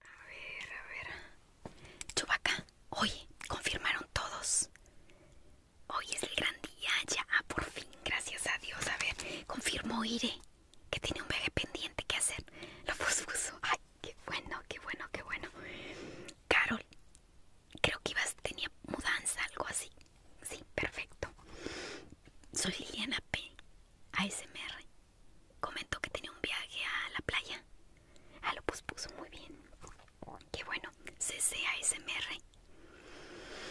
A ver, a ver. Chubaca, oye, confirmaron todos. Hoy es el gran día, ya, ah, por fin, gracias a Dios. A ver, confirmó Ire que tiene un bebé pendiente que hacer. Lo puso. Ay, qué bueno, qué bueno, qué bueno. Carol, creo que ibas, tenía mudanza, algo así. Sí, perfecto. Soy Liliana P. ASMR comentó que tenía un viaje a la playa. a ah, lo puso muy bien. Qué bueno, CCASMR.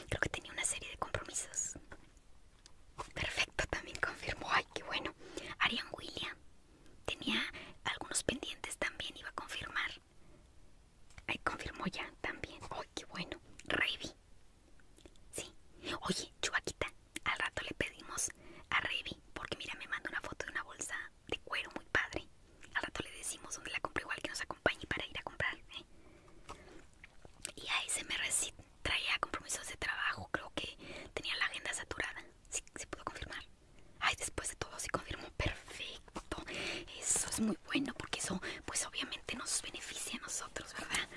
Creo que tenía una serie de compromisos. Perfecto, también confirmó. Ay, qué bueno. Arian William tenía algunos pendientes también, iba a confirmar. Ay, confirmó ya también. Ay, qué bueno. Ravi. Sí. Oye, Chuaquita, al rato le pedimos a Revi, porque mira, me manda una foto de una bolsa de cuero muy padre. Al rato le decimos donde la compró, igual que nos acompañe para ir a comprar. ¿eh? Y ahí se me traía compromisos de trabajo, creo que tenía la agenda saturada. Sí, se pudo confirmar. Ay, después de todo se confirmó perfecto. Eso es muy bueno porque eso pues obviamente nos beneficia a nosotros, ¿verdad?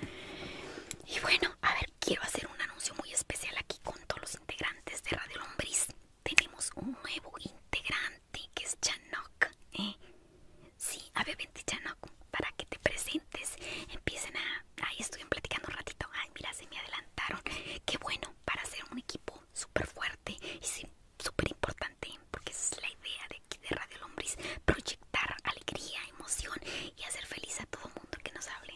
Y bueno, a ver, quiero hacer un anuncio muy especial aquí con todos integrantes de Radio Lombriz. Tenemos un nuevo integrante que es Chanok. ¿eh? Sí, a ver, Chanok, para que te presentes. Empiecen a... Ahí estuvieron platicando un ratito. Ay, mira, se me adelantaron. Qué bueno, para hacer un equipo súper fuerte y súper importante, porque esa es la idea de de Radio Lombriz. Proyectar alegría, emoción y hacer feliz a todo mundo que nos hable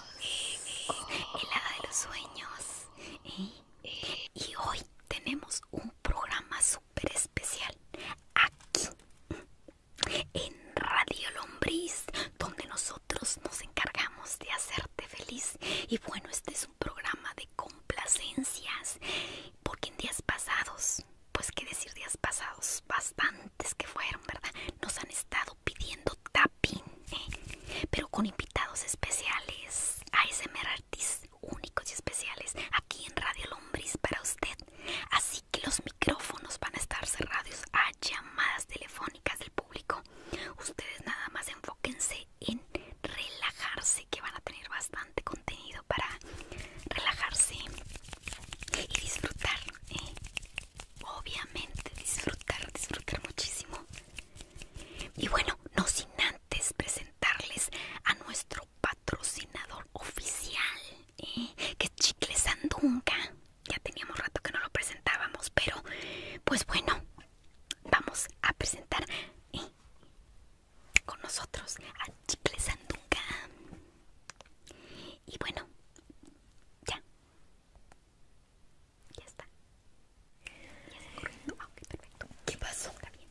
el hada de los sueños. ¿eh? Y hoy tenemos un programa súper especial aquí en Radio Lombriz, donde nosotros nos encargamos de hacerte feliz. Y bueno, este es un programa de complacencias, porque en días pasados, pues qué decir días pasados, bastantes que fueron, ¿verdad? Nos han estado pidiendo e, pero con invitados especiales, ASMR artistas únicos y especiales aquí en Radio Lombriz para usted. Así que los micrófonos van a estar cerrados a llamadas telefónicas del público. Ustedes nada más enfóquense en relajarse, que van a tener bastante contenido para relajarse y disfrutar. ¿eh? obviamente disfrutar, disfrutar muchísimo. Y bueno, no sin antes presentarles a nuestro patrocinador oficial, ¿eh? que es Chicle Sandunga. Ya teníamos rato que no lo presentábamos, pero pues bueno, vamos a presentar ¿eh? con nosotros a Chicle Sandunga. Y bueno, ya. Ya está. Ya está corriendo. ok, perfecto. ¿Qué pasó? Está bien.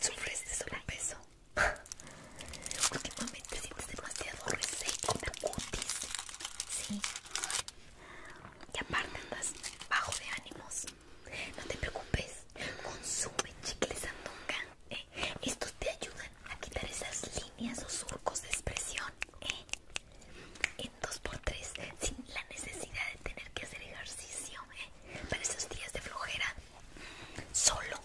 ¿Sufres de sobrepeso? Últimamente sientes demasiado reseco en cutis. Sí. Y aparte andas bajo de ánimos. No te preocupes. Consume chicle sandunga. ¿eh? Estos te ayudan a quitar esas líneas o surcos de expresión. ¿eh? en 2x3 sin la necesidad de tener que hacer ejercicio ¿eh? para esos días de flojera solo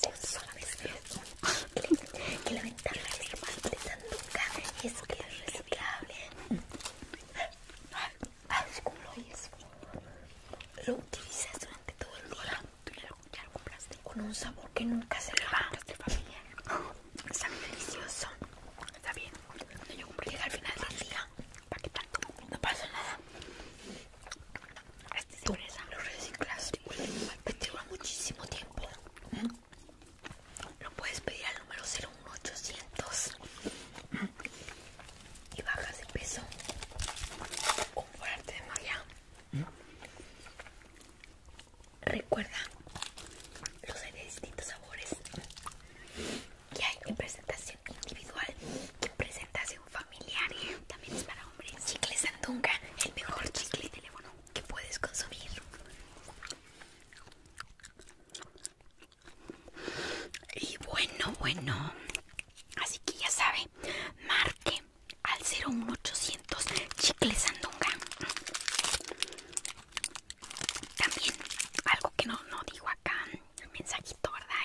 solo que, la ventaja de de nunca es que es reciclable lo utilizas durante todo el día con un sabor que nunca se le va familiar Sabe delicioso. Está bien. cuando yo llega al final del día. ¿Para que tanto? No pasa nada. Este Tú lo reciclas. Te dura muchísimo tiempo. Lo puedes pedir al número 01800 y bajas de peso por arte de magia. Recuerda, los hay de distintos sabores. Y hay en presentación individual, en presentación familiar. También es para hombres. Chicle Sandunga, el mejor chicle de teléfono que puedes consumir. Y bueno, bueno. Así que ya sabe, marque al 01800 Chicle Sandunga. También, algo que no, digo acá, el mensajito, ¿verdad?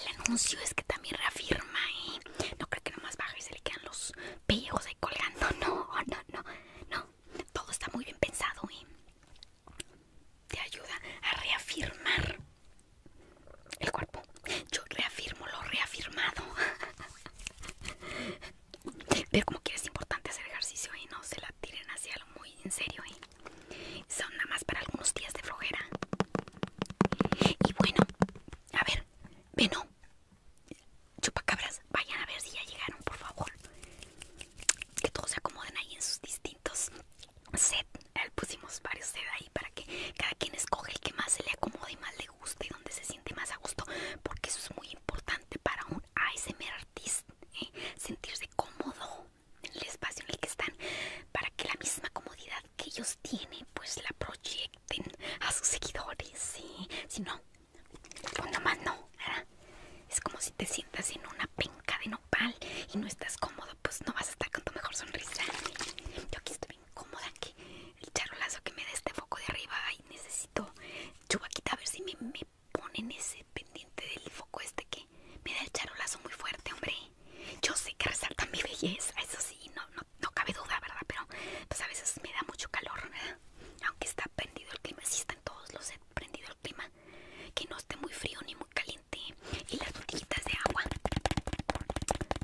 El, anuncio es que también reafirma, y ¿eh? No creo que más baja y se le quedan los pellejos ahí colgando. No, no, no, no. Todo está muy bien pensado, y ¿eh? Te ayuda a reafirmar el cuerpo. Yo reafirmo lo reafirmado. Pero como que es importante hacer ejercicio y no se la tiren hacia algo muy en serio, ¿eh? Son nada más para algunos días de flojera. Y bueno, a ver, Veno, chupacabras, vayan a ver si ya llegaron, por favor. Que todos se acomoden ahí en sus distintos set. Pusimos varios set ahí para que cada quien escoge el que más se le acomode y más le guste y donde se siente más a gusto, porque eso es muy importante para ese mer artist, ¿eh? sentirse cómodo en el espacio en el que están para que la misma comodidad que ellos tienen pues la proyecten a sus seguidores, si no, no más no, es como si te sientas en una penca de nopal y no estás cómodo, pues no vas a estar con tu mejor sonrisa. Yo aquí estoy incómoda que el charolazo que me da este foco de arriba, ay, necesito chubaquita a ver si me ponen ese pendiente del foco este que me da el charolazo muy fuerte, hombre. Yo sé que resalta mi belleza, eso sí, no, cabe duda, ¿verdad? Pero pues a veces me da mucho calor, Aunque está prendido el clima, si está en todos los he eh, prendido el clima. Que no esté muy frío ni muy caliente. Y las botellitas de agua.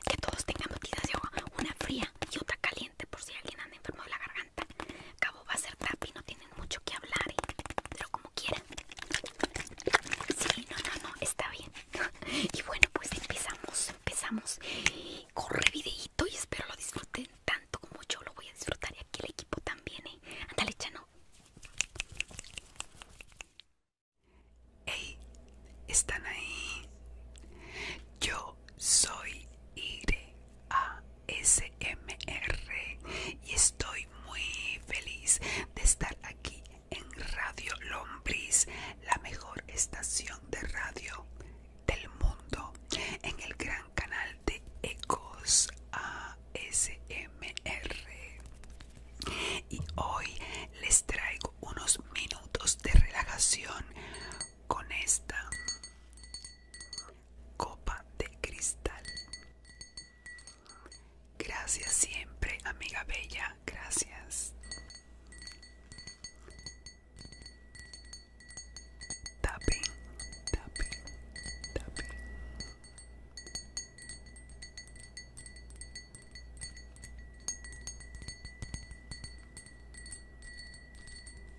Que todos tengan botellitas de agua. Una fría y otra caliente por si alguien anda enfermo de la garganta Acabo Cabo va a ser y no tienen mucho que hablar, ¿eh? pero como quieran. Sí, no, no, no, está bien. y bueno, pues empezamos, empezamos. Corre videito y espero lo disfruten tanto como yo lo voy a disfrutar y aquí el equipo también, ¿eh? Ándale, Chano. Hey, ¿están ahí? Yo soy Iri ASMR y estoy muy feliz de estar aquí en Radio Lombriz, la mejor estación de radio del mundo, en el gran canal de Ecos ASMR. Y hoy les traigo unos minutos de relajación con esta copa de cristal. Gracias siempre, amiga bella, gracias. tapin,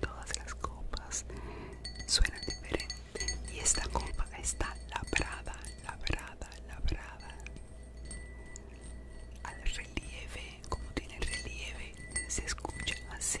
Todas las copas suenan diferente y esta copa está labrada, labrada, labrada. Al relieve, como tiene relieve, se escucha así.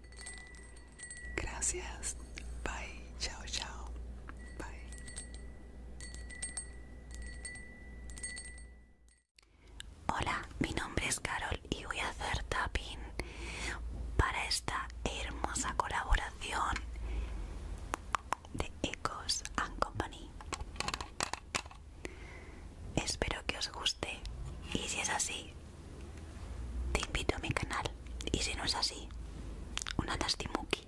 Gracias. Bye. Chao, chao. Bye. Hola, mi nombre es Carol y voy a hacer tapping para esta hermosa colaboración de Ecos and Company. Espero que os guste y si es así te invito a mi canal y si no es así una tastimuki.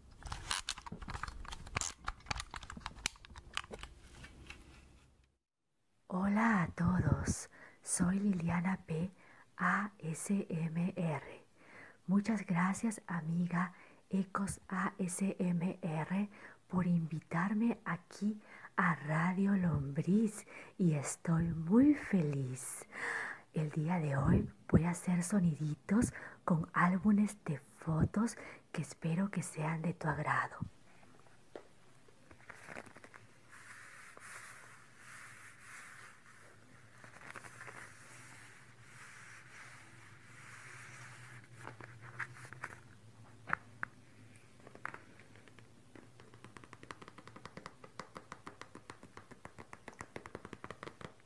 Hola a todos, soy Liliana P. ASMR. Muchas gracias amiga Ecos ASMR por invitarme aquí a Radio Lombriz y estoy muy feliz. El día de hoy voy a hacer soniditos con álbumes de fotos que espero que sean de tu agrado.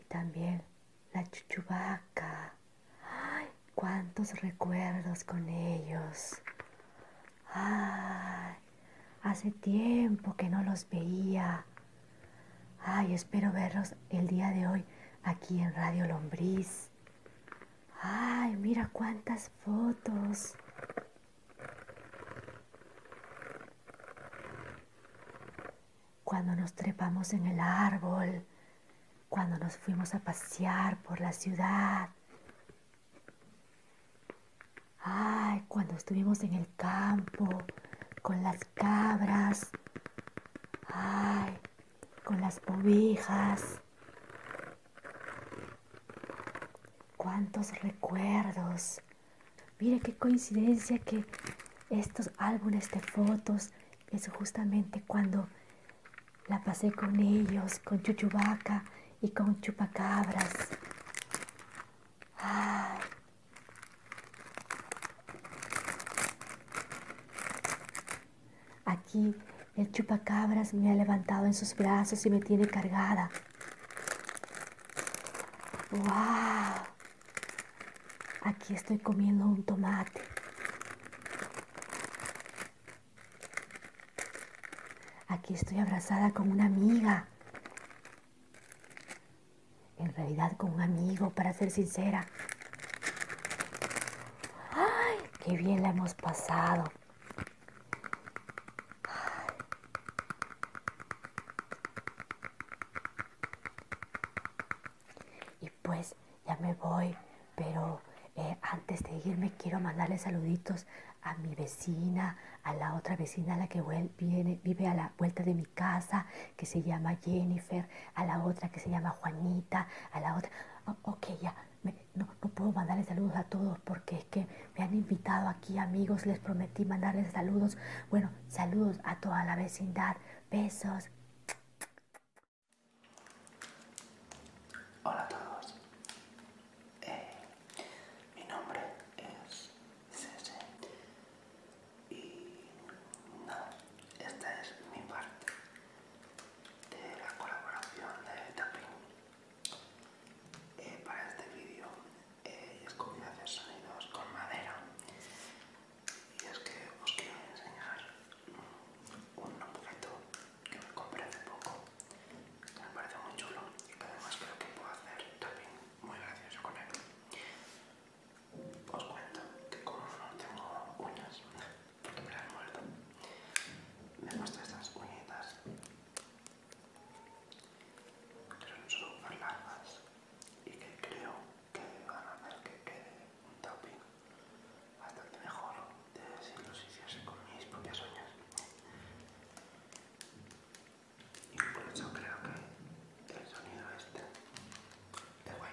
Y también la chuchubaca. ¡Ay! ¡Cuántos recuerdos con ellos! ¡Ay! Hace tiempo que no los veía. Ay, espero verlos el día de hoy aquí en Radio Lombriz. Ay, mira cuántas fotos cuando nos trepamos en el árbol, cuando nos fuimos a pasear por la ciudad. Ay, cuando estuvimos en el campo con las cabras. Ay, con las ovejas. Cuántos recuerdos. Mire qué coincidencia que estos álbumes de fotos es justamente cuando la pasé con ellos, con Chuchubaca y con Chupacabras. Aquí el Chupacabras me ha levantado en sus brazos y me tiene cargada. ¡Wow! Aquí estoy comiendo un tomate. Aquí estoy abrazada con una amiga. En realidad con un amigo, para ser sincera. ¡Ay! ¡Qué bien la hemos pasado! pues ya me voy, pero eh, antes de irme quiero mandarle saluditos a mi vecina, a la otra vecina a la que viene, vive a la vuelta de mi casa, que se llama Jennifer, a la otra que se llama Juanita, a la otra... ok, ya, no, no, puedo mandarle saludos a todos porque es que me han invitado aquí amigos, les prometí mandarles saludos. Bueno, saludos a toda la vecindad, besos. Hola a todos, eh, mi nombre es Cese y esta es mi parte de la colaboración de Tapping. Eh, para este vídeo eh, a hacer sonidos con madera y es que os quiero enseñar un objeto que me compré hace poco que me parece muy chulo y que además creo que puedo hacer también muy gracioso con él os cuento que como no tengo uñas porque me las he muerto me gustan estas uñitas que son súper largas y que creo que van a hacer que quede un topping bastante mejor de si los hiciese con mis propias uñas. Y por eso creo que el sonido este es guay.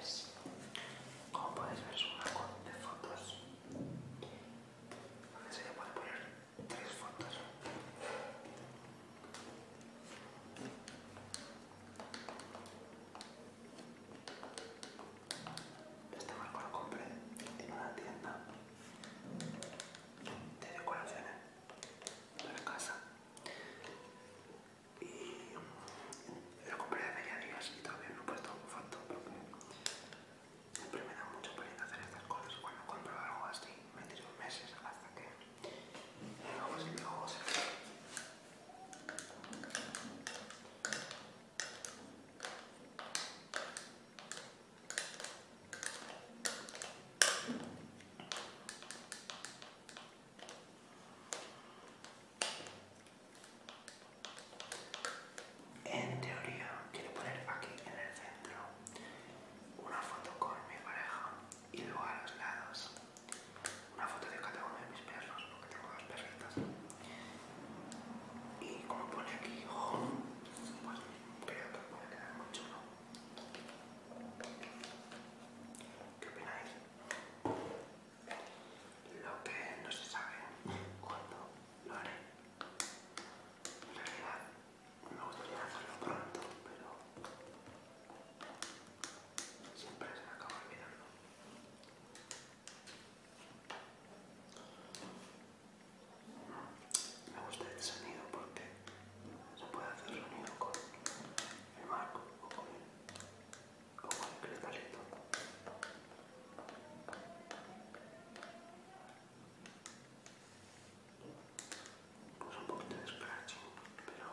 es, como podéis ver, es un marco de fotos donde se le puede poner tres fotos. Este marco lo compré en una tienda de decoraciones de la casa y lo compré hace ya días y todavía no he puesto un foto porque me da mucho peligro hacer estas cosas. Cuando compro algo así me meses hasta que luego luego se en teoría quiero poner aquí en el centro una foto con mi pareja y luego a los lados una foto de cada uno de mis perros, porque tengo dos perritas. Y como pone aquí hijo, pues creo que puede quedar muy chulo. ¿Qué opináis? Lo que no se sabe cuándo lo haré. En realidad me gustaría hacerlo pronto, pero siempre se me acaba olvidando. Me gusta este sonido porque se puede hacer sonido con el marco o con el con el eucalipto. Puse un poco de scratching, pero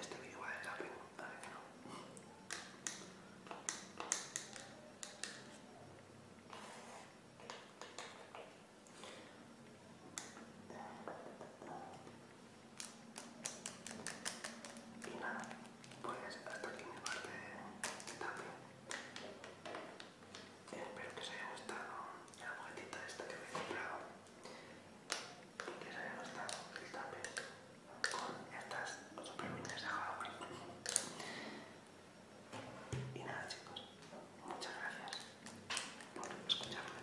este vídeo va de tapping, a ver que no. Y nada, pues hasta aquí mi parte de tapping. Espero que os haya gustado la de esta que he comprado. Y que os haya gustado el tapping con estas super minas de jabón. Y nada chicos, muchas gracias por escucharme.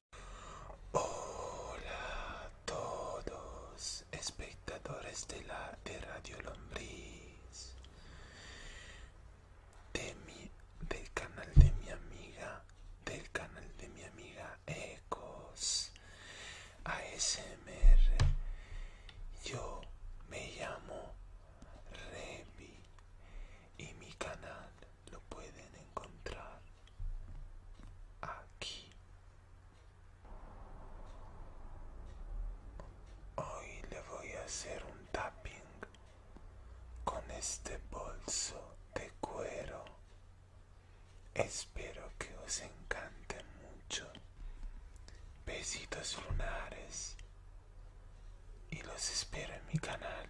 Hola a todos, espectadores de la de Radio Lombriz, del canal de mi amiga, del canal de mi amiga Ecos ASMR. Yo me llamo Revi y mi canal lo pueden encontrar aquí. Hoy le voy a hacer un tapping con este bolso de cuero. Espero que os encante mucho. Besitos lunares y los espero en mi canal.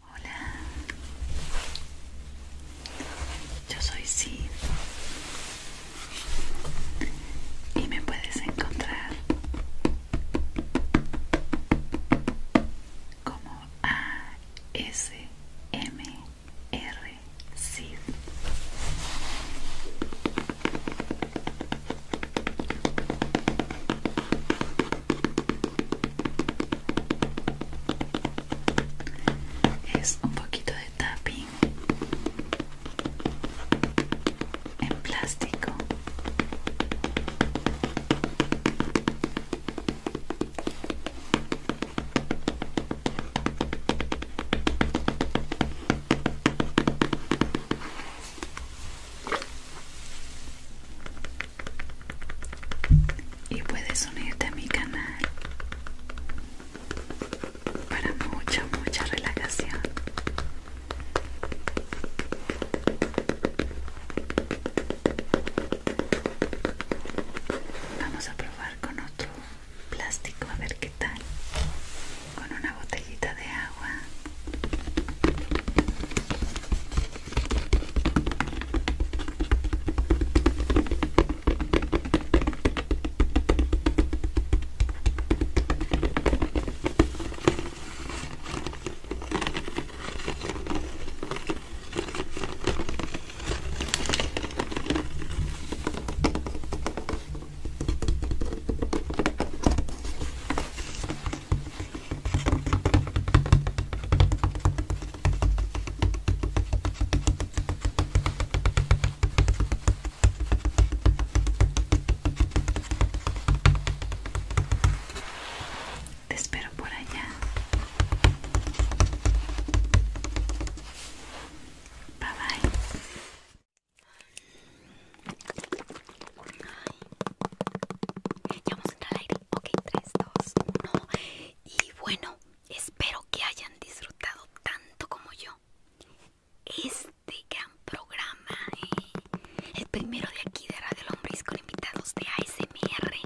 Hola, yo soy Sid y me puedes encontrar como A S M R Sid es un poquito de tapping en plástico y puedes unirte a mi canal para mucha mucha relajación vamos a probar con otro plástico a ver qué tal con una botellita de agua te espero por allá. Bye bye. Ya vamos a entrar al aire. Ok, 3, 2, 1. Y bueno, espero que hayan disfrutado tanto como yo este gran programa. Eh. El primero de aquí de Radio Lombriz con invitados de ASMR.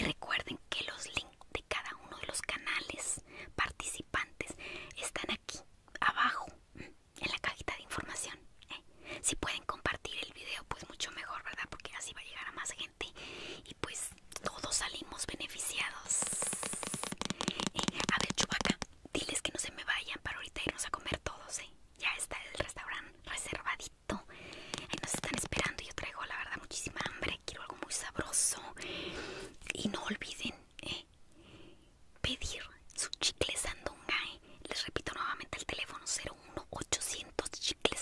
Y recuerden que los links de cada uno de los canales participantes están aquí abajo en la cajita de información. ¿eh? Si pueden compartir el video, pues mucho mejor, ¿verdad? Porque así va a llegar a más gente y pues todos salimos beneficiados. Eh, a ver, Chubaca, diles que no se me vayan para ahorita irnos a comer todos, ¿eh? Ya está el restaurante reservadito. nos están esperando. Yo traigo, la verdad, muchísima hambre. Quiero algo muy sabroso. Y no olviden, ¿eh? Pedir su chicle Sandungae. Les repito nuevamente el teléfono 01800 chicle chicles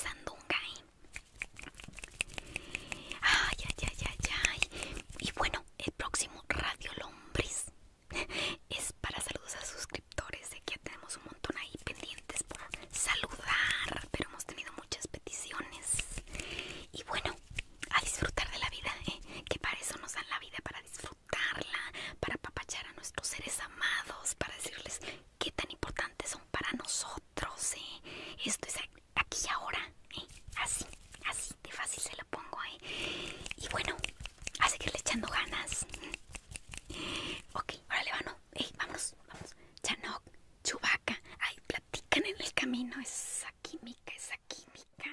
Ay, ay, ay, ay, ay. Y bueno, el próximo Radio Lombriz es para saludos a suscriptores. que ya tenemos un montón ahí pendientes por saludar, pero hemos tenido muchas peticiones. Y bueno, a disfrutar de la vida, ¿eh? que para eso nos dan la vida, para disfrutar para apapachar a nuestros seres amados, para decirles qué tan importantes son para nosotros. ¿eh? Esto es aquí y ahora, ¿eh? así, así de fácil se lo pongo. ¿eh? Y bueno, a seguirle echando ganas. Ok, ahora le vano. vamos. Chanok, Chubaca. Ay, platican en el camino. Esa química, esa química.